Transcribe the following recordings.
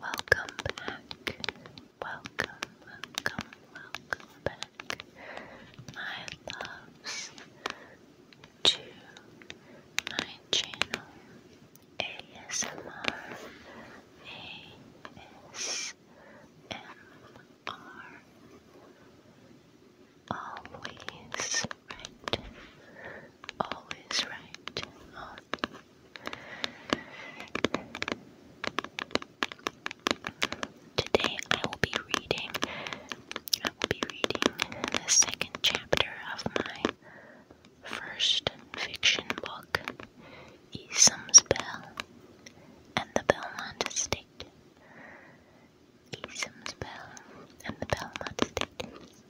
Welcome back. Welcome, welcome, welcome back, my loves, to my channel ASMR ASMR. Always right, always right, Today I will be reading I will be reading the second chapter of my first fiction book, Esom's Bell and the Belmont Estate. Esom's Bell and the Belmont Estate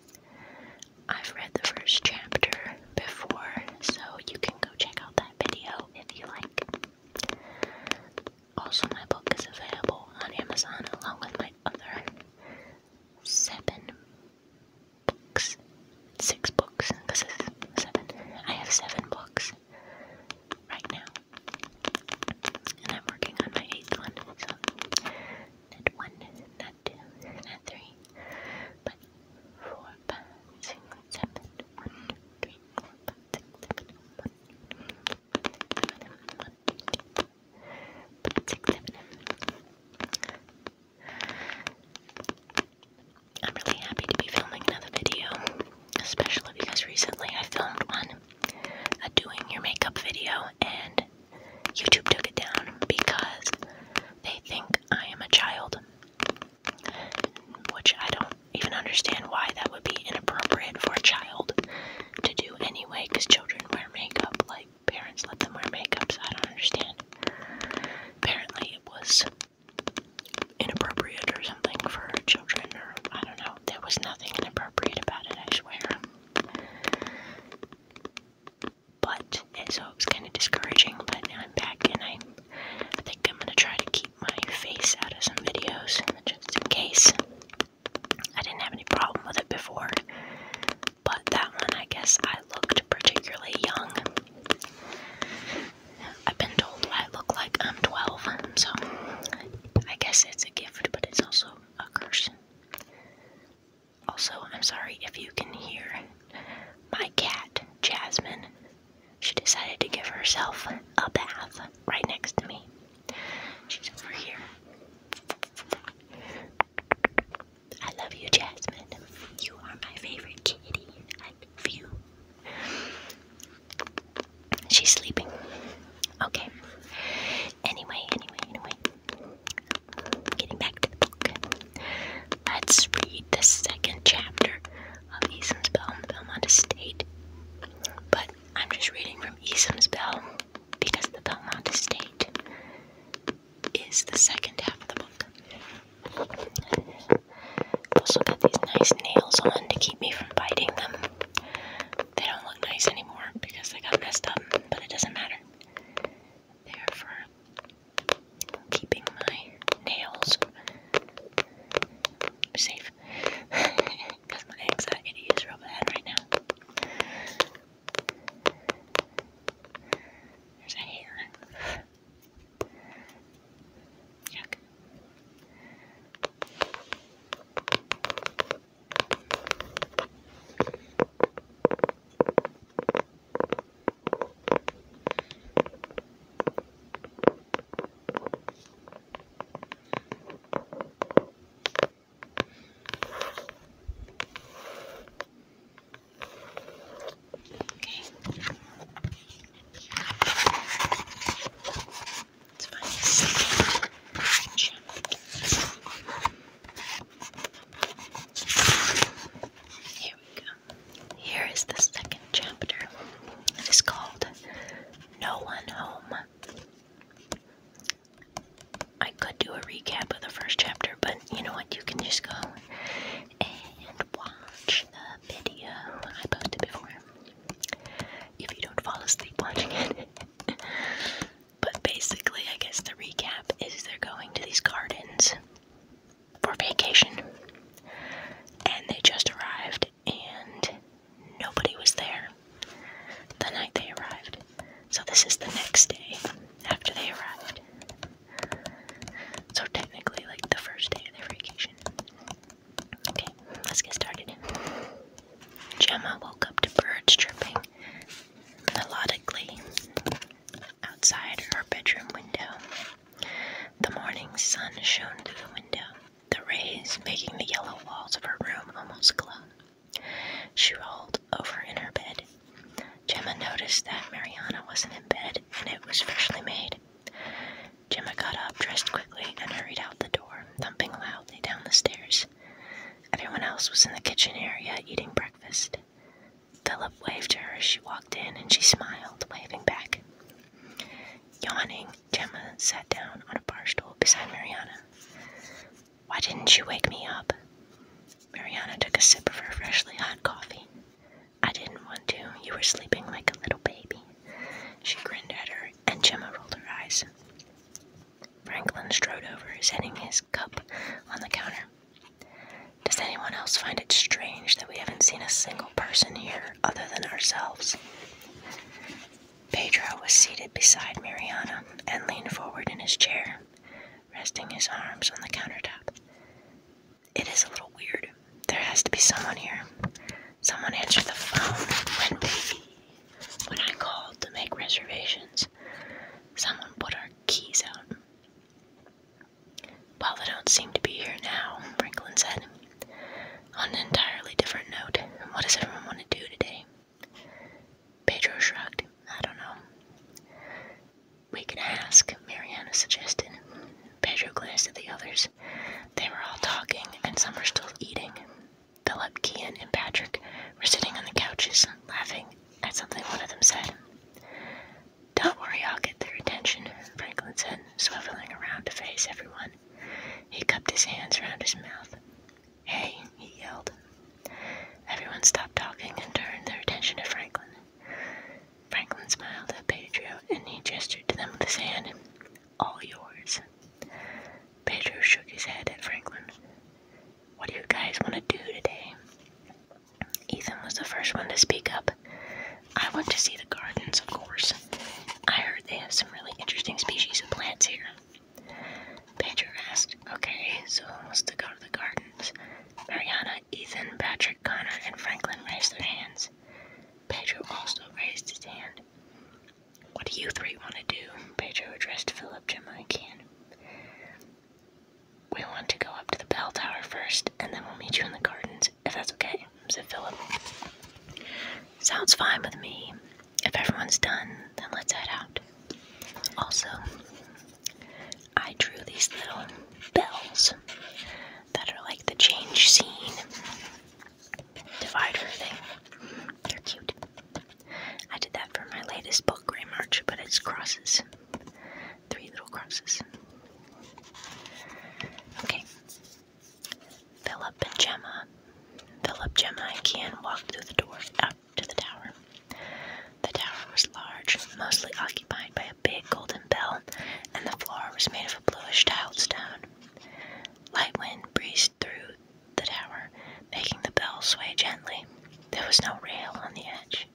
I've read the first chapter before, so you can go check out that video if you like. Also, my book is available on Amazon along with my other seven books. Six books. This is seven. I have seven books right now. And I'm working on my eighth one not one, not two, not three, but four, five, six, seven, one, two, three, seven, one, two, three, five, six, seven. I'm really happy to be filming another video, especially because recently I filmed one, a doing your makeup video, and YouTube took it down because they think I am a child, which I don't even understand why that would be inappropriate for a child to do anyway, because children wear makeup, like parents let them wear makeup, I don't understand. Apparently, it was inappropriate or something for children, or I don't know. There was nothing inappropriate about it, I swear but and so it was kind of discouraging. But I'm back, and I, I think I'm gonna try to keep my face out of some videos just in case. I didn't have any problem with it before, but that one, I guess I looked particularly young. I've been told I look like I'm 12, so I guess it's a gift, but it's also a curse. Also, I'm sorry if you can hear my cat, Jasmine. She decided to give herself a bath right next to me. She's over here. I love you, Jasmine. You are my favorite kitty. I love you. She's sleeping. Okay. Anyway, anyway, anyway. Getting back to the book. Let's read the second chapter of Esam's Bell and the Estate. But I'm just reading from Esam's Bell because the Belmont Estate is the second half of the book. Also got these nice nails on to keep me from biting them. They don't look nice anymore because they got messed up, but it doesn't matter. They're for keeping my nails safe because my anxiety is real bad right now. There's a hair. Let's find the second chapter. Here we go. Here is the second chapter. It is called No One Home. I could do a recap of the first chapter, but you know what? You can just go and watch the video I posted before if you don't fall asleep watching it. but basically, I guess the recap is they're going to these gardens for vacation, and they just arrived, and nobody was there the night they arrived. So, this is the next day after they arrived. So, technically, like the first day of their vacation. Okay, let's get started. Gemma woke up to birds chirping melodically outside her bedroom window. The morning sun shone through the window, the rays making the yellow walls of her room almost glow. She rolled over in her bed. Gemma noticed that Mariana wasn't in bed and it was freshly made. Gemma got up, dressed quickly, and hurried out the door, thumping loudly down the stairs. Everyone else was in the kitchen area eating breakfast. Philip waved to her as she walked in, and she smiled, waving back. Yawning, Gemma sat down on a bar stool beside Mariana. Why didn't you wake me up? Mariana took a sip of her freshly hot coffee. I didn't want to. You were sleeping like a little baby. She grinned at her, and Gemma rolled her eyes. Franklin strode over, setting his cup on the counter. Does anyone else find it strange that we haven't seen a single person here other than ourselves? Pedro was seated beside Mariana and leaned forward in his chair, resting his arms on the countertop. It is a little weird. There has to be someone here. Someone answered the phone when we when I called to make reservations. Someone put our keys out. Well, they don't seem to be here now, Franklin said. On an entirely different note, what does everyone want to do today? Pedro shrugged. I don't know. We can ask, Mariana suggested. Pedro glanced at the others. They were all talking, and some were still eating. Philip, Kian, and Patrick were sitting on the couches, laughing at something one of them said. Don't worry, I'll get their attention, Franklin said, swiveling around to face everyone. He cupped his hands around his mouth. Hey, he yelled. Everyone stopped talking and turned their attention to Franklin. Franklin smiled at Pedro and he gestured to them with his hand. All yours. Pedro shook his head at Franklin. What do you guys want to do today? Ethan was the first one to speak up. I want to see the gardens, of course. I heard they have some really interesting species of plants here. Pedro asked, Okay, so who wants to go to the gardens? Mariana, Ethan, Patrick, Connor, and Franklin raised their hands. Pedro also raised his hand. What do you three want to do? Pedro addressed Philip, Gemma, and Ken. We want to go up to the bell tower first, and then we'll meet you in the gardens, if that's okay, said Philip. Sounds fine with me. If everyone's done, then let's head out. Also, I drew these little bells that are like the change scene divider thing. They're cute. I did that for my latest book, Grey March, but it's crosses three little crosses. Okay. Philip and Gemma. Philip, Gemma, and Kian walked through the door out to the tower. The tower was large, mostly occupied by a big golden bell, and the floor was made of a bluish tiled stone. Light wind breezed through the tower, making the bell sway gently. There was no rail on the edge.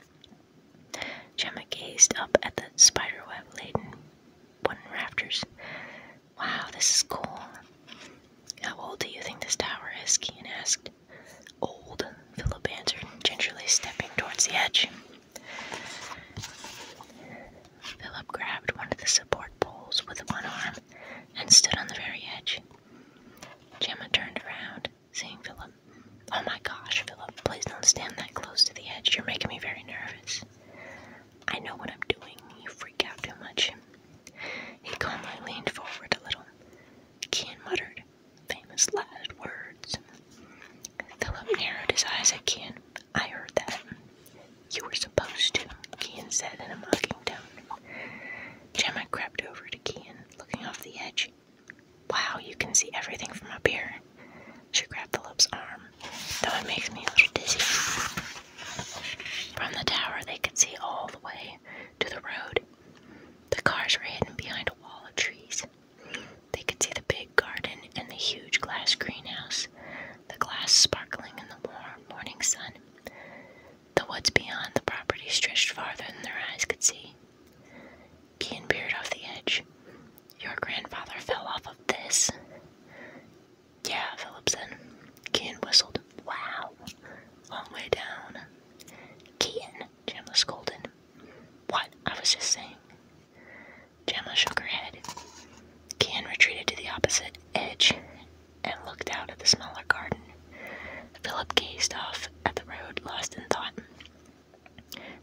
Gemma gazed up at the spiderweb-laden wooden rafters. Wow, this is cool. How old do you think this tower is? Keen asked. Old, Philip answered, gingerly stepping towards the edge. Philip grabbed one of the support poles with one arm and stood on the very edge. Gemma turned around saying Philip. Oh my gosh, Philip, please don't stand that close to the edge. You're making me very nervous. I know what I'm doing. You freak out too much. He calmly leaned forward a little. Kian muttered famous last words. Philip narrowed his eyes at Kian. I heard that. You were supposed to, Kian said in a mocking tone. Gemma crept over to Kian, looking off the edge. Wow, you can see everything from up here. She grabbed Philip's arm, though it makes me a little dizzy. From the tower, they could see all the way to the road. The cars were hidden behind a wall of trees. They could see the big garden and the huge glass greenhouse, the glass sparkling in the warm morning sun. The woods beyond the property stretched farther than their eyes could see being veered off the edge. Your grandfather fell off of this. Yeah, Philip said. Keaton whistled. Wow. Long way down. Keaton, Jamla scolded. What? I was just saying. Gemma shook her head. Keaton retreated to the opposite edge and looked out at the smaller garden. Philip gazed off at the road, lost in thought.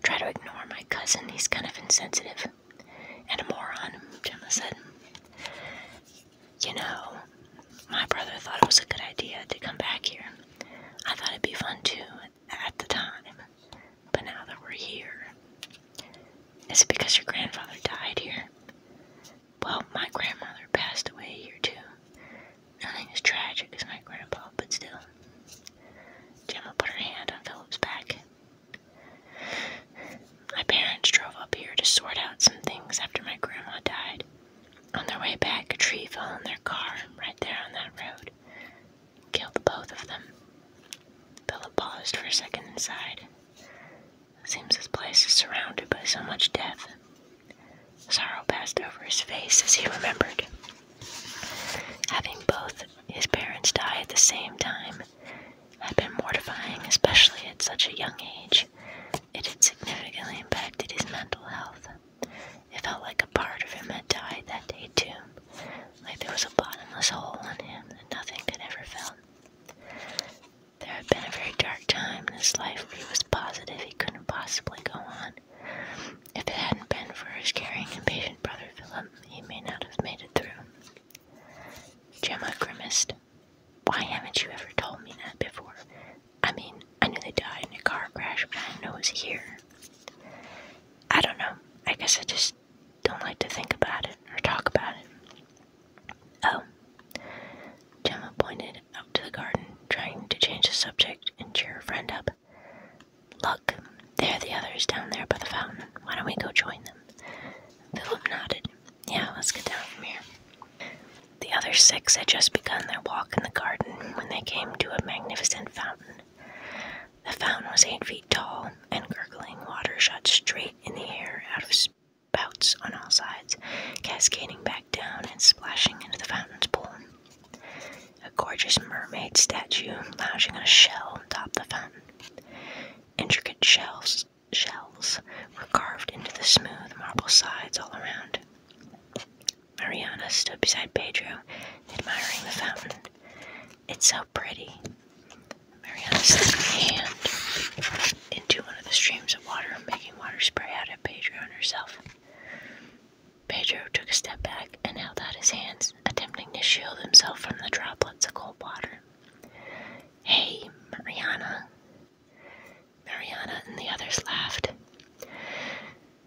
Try to ignore my cousin, he's kind of insensitive. And a moron, Gemma said. You know, my brother thought it was a good idea to come back here. I thought it'd be fun too at the time. But now that we're here, is it because your grandfather died here? Well, my grandmother passed away here too. Nothing is tragic as my grandpa, but still. Gemma put her hand on Philip's back. My parents drove up here to sort out some things after my grandma died. On their way back, a tree fell on their car right there on that road. Killed both of them. Philip paused for a second and sighed. Seems this place is surrounded by so much death. Sorrow passed over his face as he remembered. Having both his parents die at the same time had been mortifying, especially at such a young age. It had significantly impacted his mental health. It felt like a part of him had died that day, too, like there was a bottomless hole in him that nothing could ever fill. There had been a very dark time in his life where he was positive he couldn't possibly go on. If it hadn't been for his caring, impatient brother Philip, he may not have made it through. Gemma grimaced. Why haven't you ever told me that before? I mean, I knew they died in a car crash, but I didn't know it was here. I don't know. I guess I just don't like to think about it or talk about it. Oh. Gemma pointed out to the garden, trying to change the subject and cheer her friend up. Look, there are the others down there by the fountain. Why don't we go join them? Philip nodded. Yeah, let's get down from here. The other six had just begun their walk in the garden when they came to a magnificent fountain. The fountain was eight feet tall, and gurgling water shot straight in the air out of spouts on all sides, cascading back down and splashing into the fountain's pool a gorgeous mermaid statue lounging on a shell on top the fountain. Intricate shells, shells were carved into the smooth marble sides all around. Mariana stood beside Pedro, admiring the fountain. It's so pretty. Mariana slipped her hand into one of the streams of water, making water spray out at Pedro and herself. Pedro took a step back and held out his hands, attempting to shield himself from the droplets of cold water. Hey, Mariana. Mariana and the others laughed.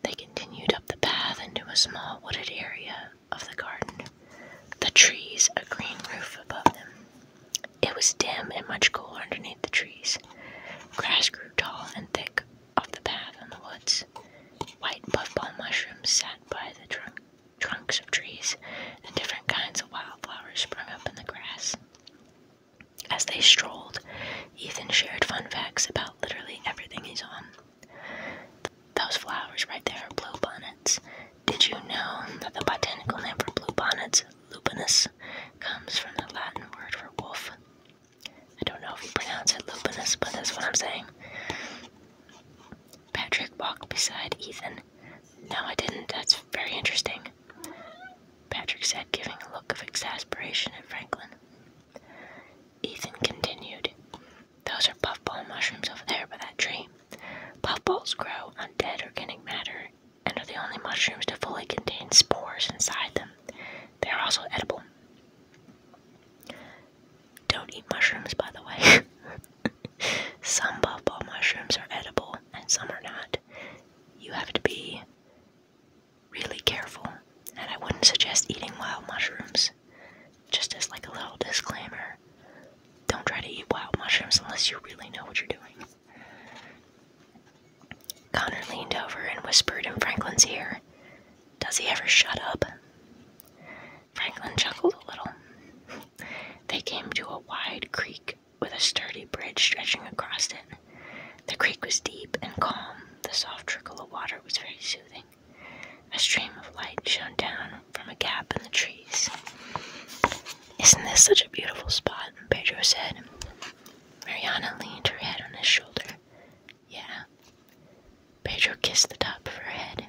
They continued up the path into a small wooded area of the garden, the trees a green roof above them. It was dim and much cooler underneath the trees. Grass grew tall and thick of the path in the woods. White puffball mushrooms sat by the trunks of trees, and different kinds of wildflowers sprung up in the grass. As they strolled, Ethan shared fun facts about literally everything he's on. Those flowers right there are bluebonnets. Did you know that the botanical name for bluebonnets, lupinus, comes from the Latin word for wolf? I don't know if you pronounce it lupinus, but that's what I'm saying. Patrick walked beside Ethan. No, I didn't. That's very interesting. Patrick said, giving a look of exasperation at Franklin. Ethan continued, Those are puffball mushrooms over there by that tree. Puffballs grow on dead organic matter and are the only mushrooms to fully contain spores inside them. They are also edible. Don't eat mushrooms, by the way. some puffball mushrooms are edible and some are not. You have to be really careful, and I wouldn't suggest eating wild mushrooms. Just as like a little disclaimer, don't try to eat wild mushrooms unless you really know what you're doing. Connor leaned over and whispered in Franklin's ear, does he ever shut up? Franklin chuckled a little. They came to a wide creek with a sturdy bridge stretching across it. The creek was deep and calm. The soft trickle of water was very soothing. A stream of light shone down from a gap in the trees. Isn't this such a beautiful spot? Pedro said. Mariana leaned her head on his shoulder. Yeah. Pedro kissed the top of her head.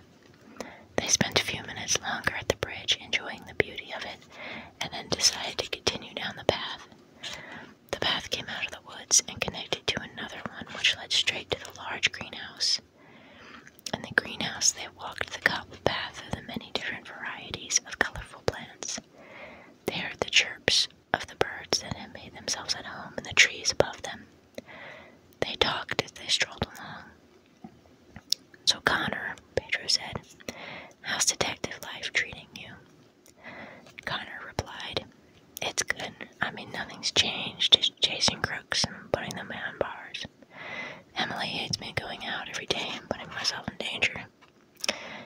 They spent a few minutes longer at the bridge, enjoying the beauty of it, and then decided to continue down the path. The path came out of the woods and connected to another one which led straight to the large greenhouse. In the greenhouse, they walked the cobbled path through the many different varieties of colorful plants. They heard the chirps of the birds that had made themselves at home in the trees above them. They talked as they strolled along. So, Connor, Pedro said, how's detective life treating you? Connor replied, It's good. I mean, nothing's changed, just chasing crooks and putting them behind bars. Emily hates me going out every day and putting myself in danger.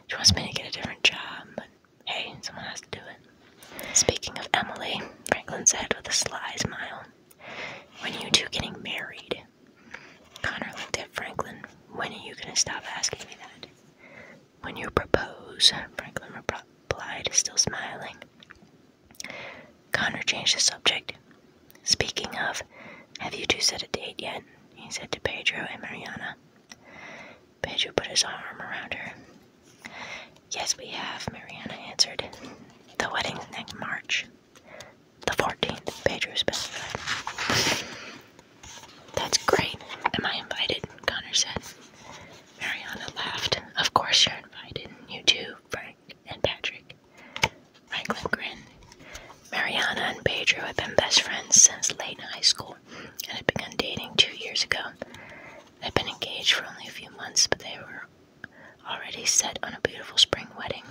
She wants me to get a different job, Hey, someone has to do it. Speaking of Emily, Franklin said with a sly smile, When are you two getting married? Connor looked at Franklin. When are you gonna stop asking me that? When you propose, Franklin replied, still smiling. Connor changed the subject. Speaking of, have you two set a date yet? He said to Pedro and Mariana. Pedro put his arm around her. Yes, we have, Mariana answered. The wedding's next March. The 14th, Pedro's best friend. That's great. Am I invited? Connor said. Mariana laughed. Of course you're invited. You too, Frank and Patrick. Franklin grinned. Mariana and Pedro have been best friends since late high school and had begun dating two years ago. They've been engaged for only a few months, but they were already set on a beautiful spring wedding.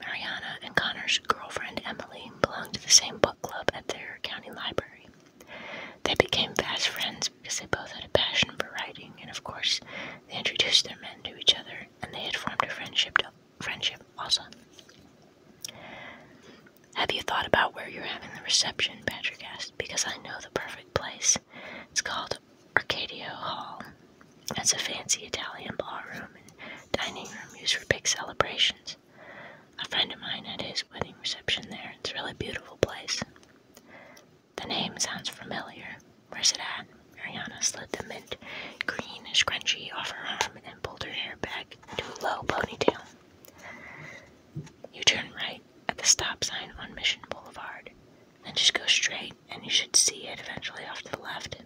Mariana and Connor's girlfriend Emily belonged to the same book club at their county library. They became fast friends because they both had a passion for writing, and of course, they introduced their men to each other, and they had formed a friendship. friendship also. Have you thought about where you're having the reception? Patrick asked. Because I know the perfect place. It's called Arcadio Hall. It's a fancy Italian ballroom and dining room used for big celebrations. A friend of mine had his wedding reception there. It's a really beautiful place. The name sounds familiar. Where's it at? Mariana slid the mint green scrunchie off her arm and pulled her hair back into a low ponytail. You turn right at the stop sign on Mission Boulevard. Then just go straight, and you should see it eventually off to the left.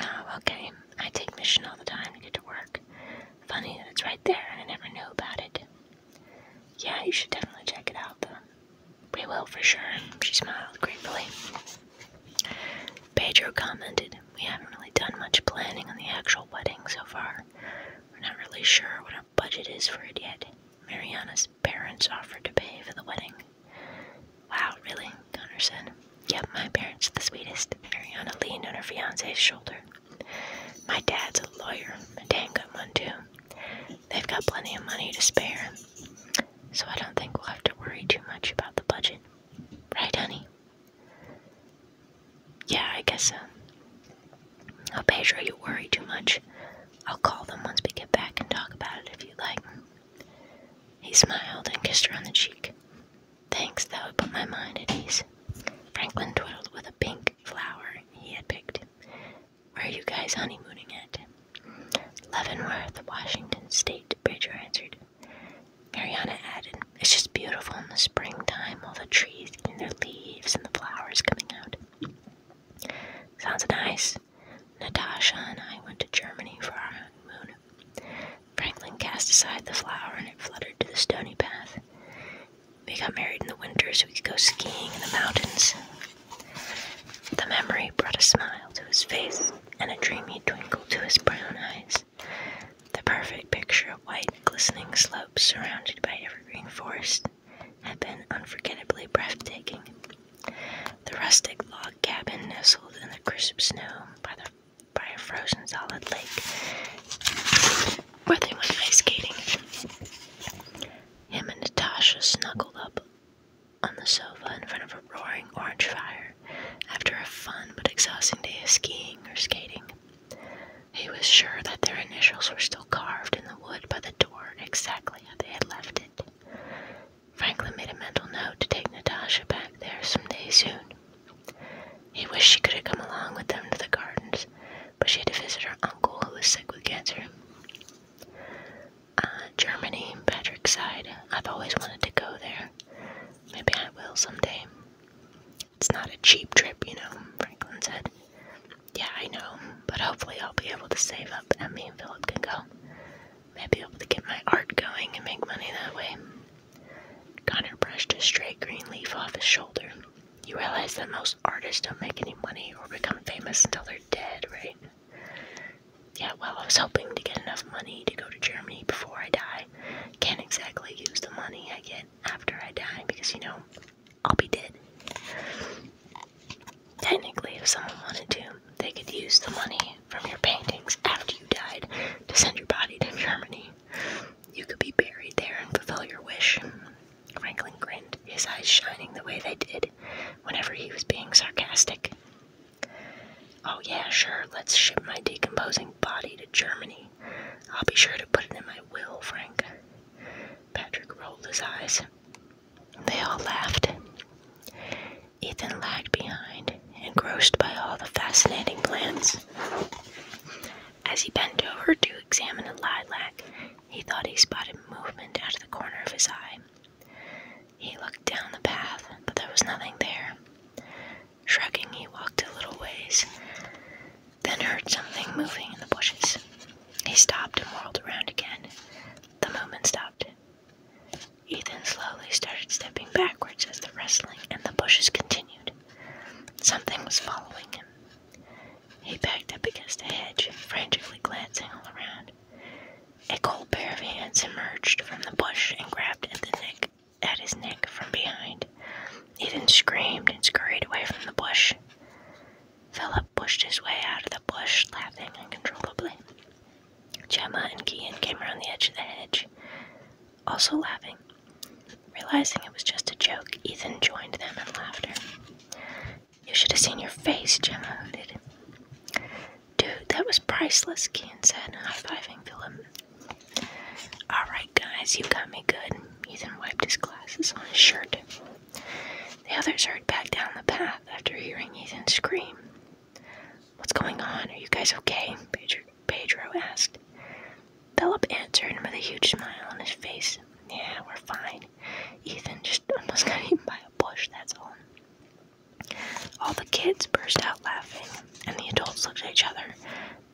Oh, okay. I take Mission all the time to get to work. Funny that it's right there, and I never knew about it. Yeah, you should definitely check it out, though. We will, for sure. She smiled gratefully. Pedro commented, We haven't really done much planning on the actual wedding so far. We're not really sure what our budget is for it yet. Mariana's parents offered to pay for the wedding. Wow, really? Connor said. Yep, my parents the sweetest. Mariana leaned on her fiance's shoulder. My dad's a lawyer. a Dan good one too. They've got plenty of money to spare. So I don't think we'll have to worry too much about the budget. Right, honey? Yeah, I guess so. Oh, Pedro, you worry too much. I'll call them once we get back and talk about it if you like. He smiled and kissed her on the cheek. Thanks, that would put my mind at ease. Franklin twiddled with a pink flower he had picked. Where are you guys honeymooning at? Leavenworth, Washington State, Pedro answered. Mariana added, it's just beautiful in the springtime, all the trees and their leaves and the flowers coming out. Sounds nice. Natasha and I went to Germany for our honeymoon. Franklin cast aside the flower and it fluttered to the stony path. We got married in the winter so we could go skiing in the mountains. The memory brought a smile to his face and a dreamy twinkle to his brown eyes the perfect picture of white, glistening slopes surrounded by evergreen forest had been unforgettably breathtaking. The rustic log cabin nestled in the crisp snow by, the, by a frozen solid lake where they went ice skating. Him and Natasha snuggled up on the sofa in front of a roaring orange fire after a fun but exhausting day of skiing or skating. He was sure that their initials were still carved in the wood by the door exactly how they had left it. Franklin made a mental note to take Natasha back there some day soon. He wished she could have come along with them to the gardens, but she had to visit her uncle who was sick with cancer. Ah, Germany, Patrick sighed. I've always wanted to go there. Maybe I will someday. It's not a cheap trip, you know, Franklin said. Yeah, I know, but hopefully I'll be able to save up and me and Philip can go. Maybe able to get my art going and make money that way. Connor brushed a stray green leaf off his shoulder. You realize that most artists don't make any money or become famous until they're dead, right? Yeah, well, I was hoping to get enough money to go to Germany before I die. Can't exactly use the money I get after I die because you know I'll be dead. Technically, if someone wanted to, they could use the money from your paintings after you died to send your body to Germany. You could be buried there and fulfill your wish. Franklin grinned, his eyes shining the way they did whenever he was being sarcastic. Oh, yeah, sure, let's ship my decomposing body to Germany. I'll be sure to put it in my will, Frank. Patrick rolled his eyes. They all laughed. Ethan lagged behind, engrossed by all the fascinating plants. As he bent over to examine a lilac, he thought he spotted movement out of the corner of his eye. He looked down the path, but there was nothing there. Shrugging, he walked a little ways then heard something moving in the bushes. He stopped and whirled around again. The movement stopped. Ethan slowly started stepping backwards as the rustling and the bushes continued. Something was following him. He backed up against the hedge, frantically glancing all around. A cold pair of hands emerged from the bush and grabbed at the neck at his neck from behind. Ethan screamed and scurried away from the bush. Philip pushed his way out of the bush, laughing uncontrollably. Gemma and Kean came around the edge of the hedge, also laughing. Realizing it was just a joke, Ethan joined them in laughter. You should have seen your face, Gemma hooted. Dude, that was priceless, Kean said, high-fiving Philip. Alright, guys, you got me good. Ethan wiped his glasses on his shirt. The others hurried back down the path after hearing Ethan scream. What's going on? Are you guys okay? Pedro, Pedro asked. Philip answered with a huge smile on his face. Yeah, we're fine. Ethan just almost got eaten by a bush, that's all. All the kids burst out laughing, and the adults looked at each other,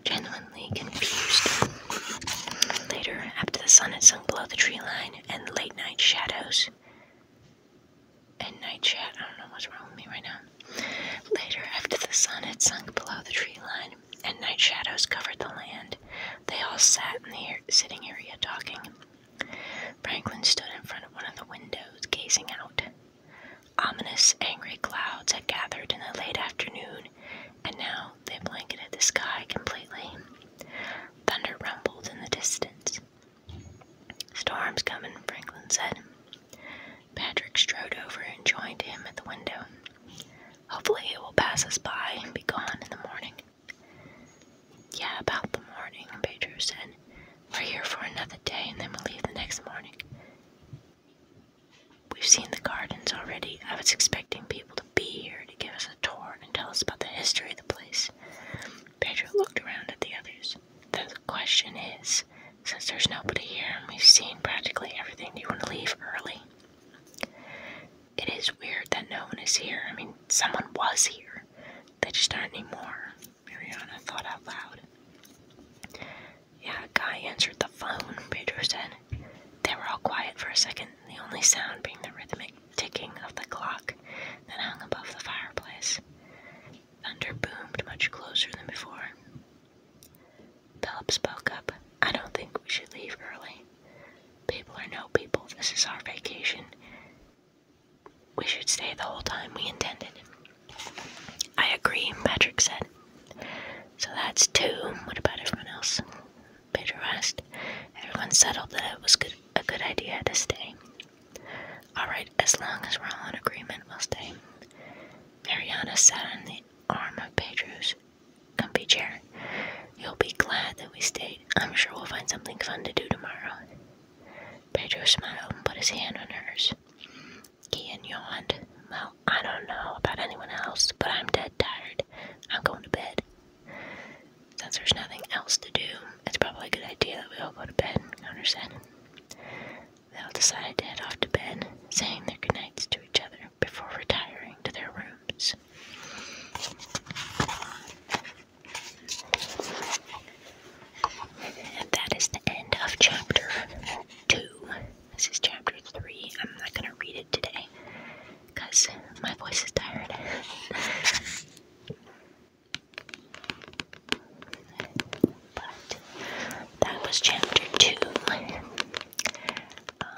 genuinely confused. Later, after the sun had sunk below the tree line and late night shadows, and night chat, I don't know what's wrong with me right now. Later, after the sun had sunk below the tree line and night shadows covered the land, they all sat in the sitting area talking. Franklin stood in front of one of the windows, gazing out. Ominous, angry clouds had gathered in the late afternoon and now they blanketed the sky completely. Thunder rumbled in the distance. Storm's coming, Franklin said. Patrick strode over and joined him at the window. Hopefully, it will pass us by and be gone in the morning. Yeah, about the morning, Pedro said. We're here for another day and then we'll leave the next morning. We've seen the gardens already. I was expecting people to be here to give us a tour and tell us about the history of the place. Pedro looked around at the others. The question is, since there's nobody here and we've seen practically everything, do you want to leave early? It is weird that no one is here. I mean, someone was here. They just aren't anymore, Mariana thought out loud. Yeah, a guy answered the phone, Pedro said. They were all quiet for a second, the only sound being the rhythmic ticking of the clock that hung above the fireplace. Thunder boomed much closer than before. Philip spoke up. I don't think we should leave early. People are no people. This is our vacation. We should stay the whole time we intended. I agree, Patrick said. So that's two. What about everyone else? Peter asked. Everyone settled that it was a good idea to stay. Alright, as long as we're all in agreement, we'll stay. Mariana sat on the arm of Pedro's comfy chair. You'll be glad that we stayed. I'm sure we'll find something fun to do tomorrow. Pedro smiled and put his hand on hers. Kian yawned. Well, I don't know about anyone else, but I'm dead tired. I'm going to bed. Since there's nothing else to do, it's probably a good idea that we all go to bed, understand? They all decide to head off to bed, saying their goodnights to each other before retiring to their rooms. And that is the end of chapter two. This is chapter three. I'm not gonna read it today because my voice is tired. but that was chapter two. Um,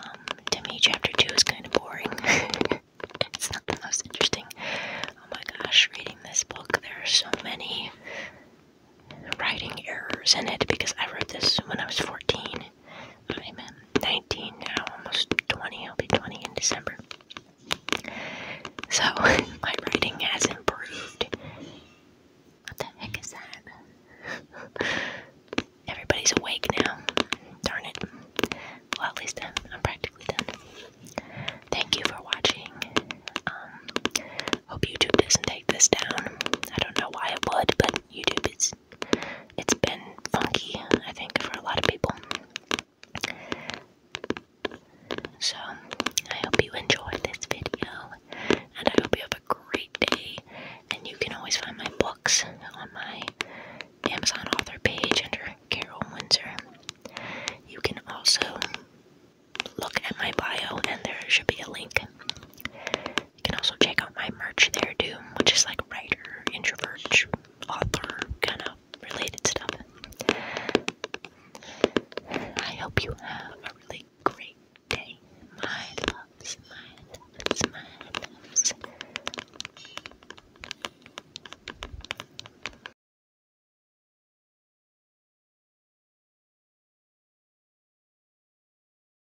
to me, chapter two is kind of boring. it's not the most interesting. Oh my gosh, reading this book, there are so many writing errors in it because I wrote this when I was 14 I'm 19 now, almost 20. I'll be 20 in December. So, my writing has improved. What the heck is that? Everybody's awake now. Darn it. Well, at least I'm, practically done. Thank you for watching. Um, hope YouTube doesn't take this down. I don't know why it would, but YouTube. It's it's been funky, I think, for a lot of people. So I hope you enjoyed this video, and I hope you have a great day. And you can always find my books on my Amazon author page under Carol Windsor. You can also look at my bio, and there should be a link. You can also check out my merch there too, which is like writer, introvert, author kind of related stuff. I hope you have a really great day. My loves, my loves, my loves.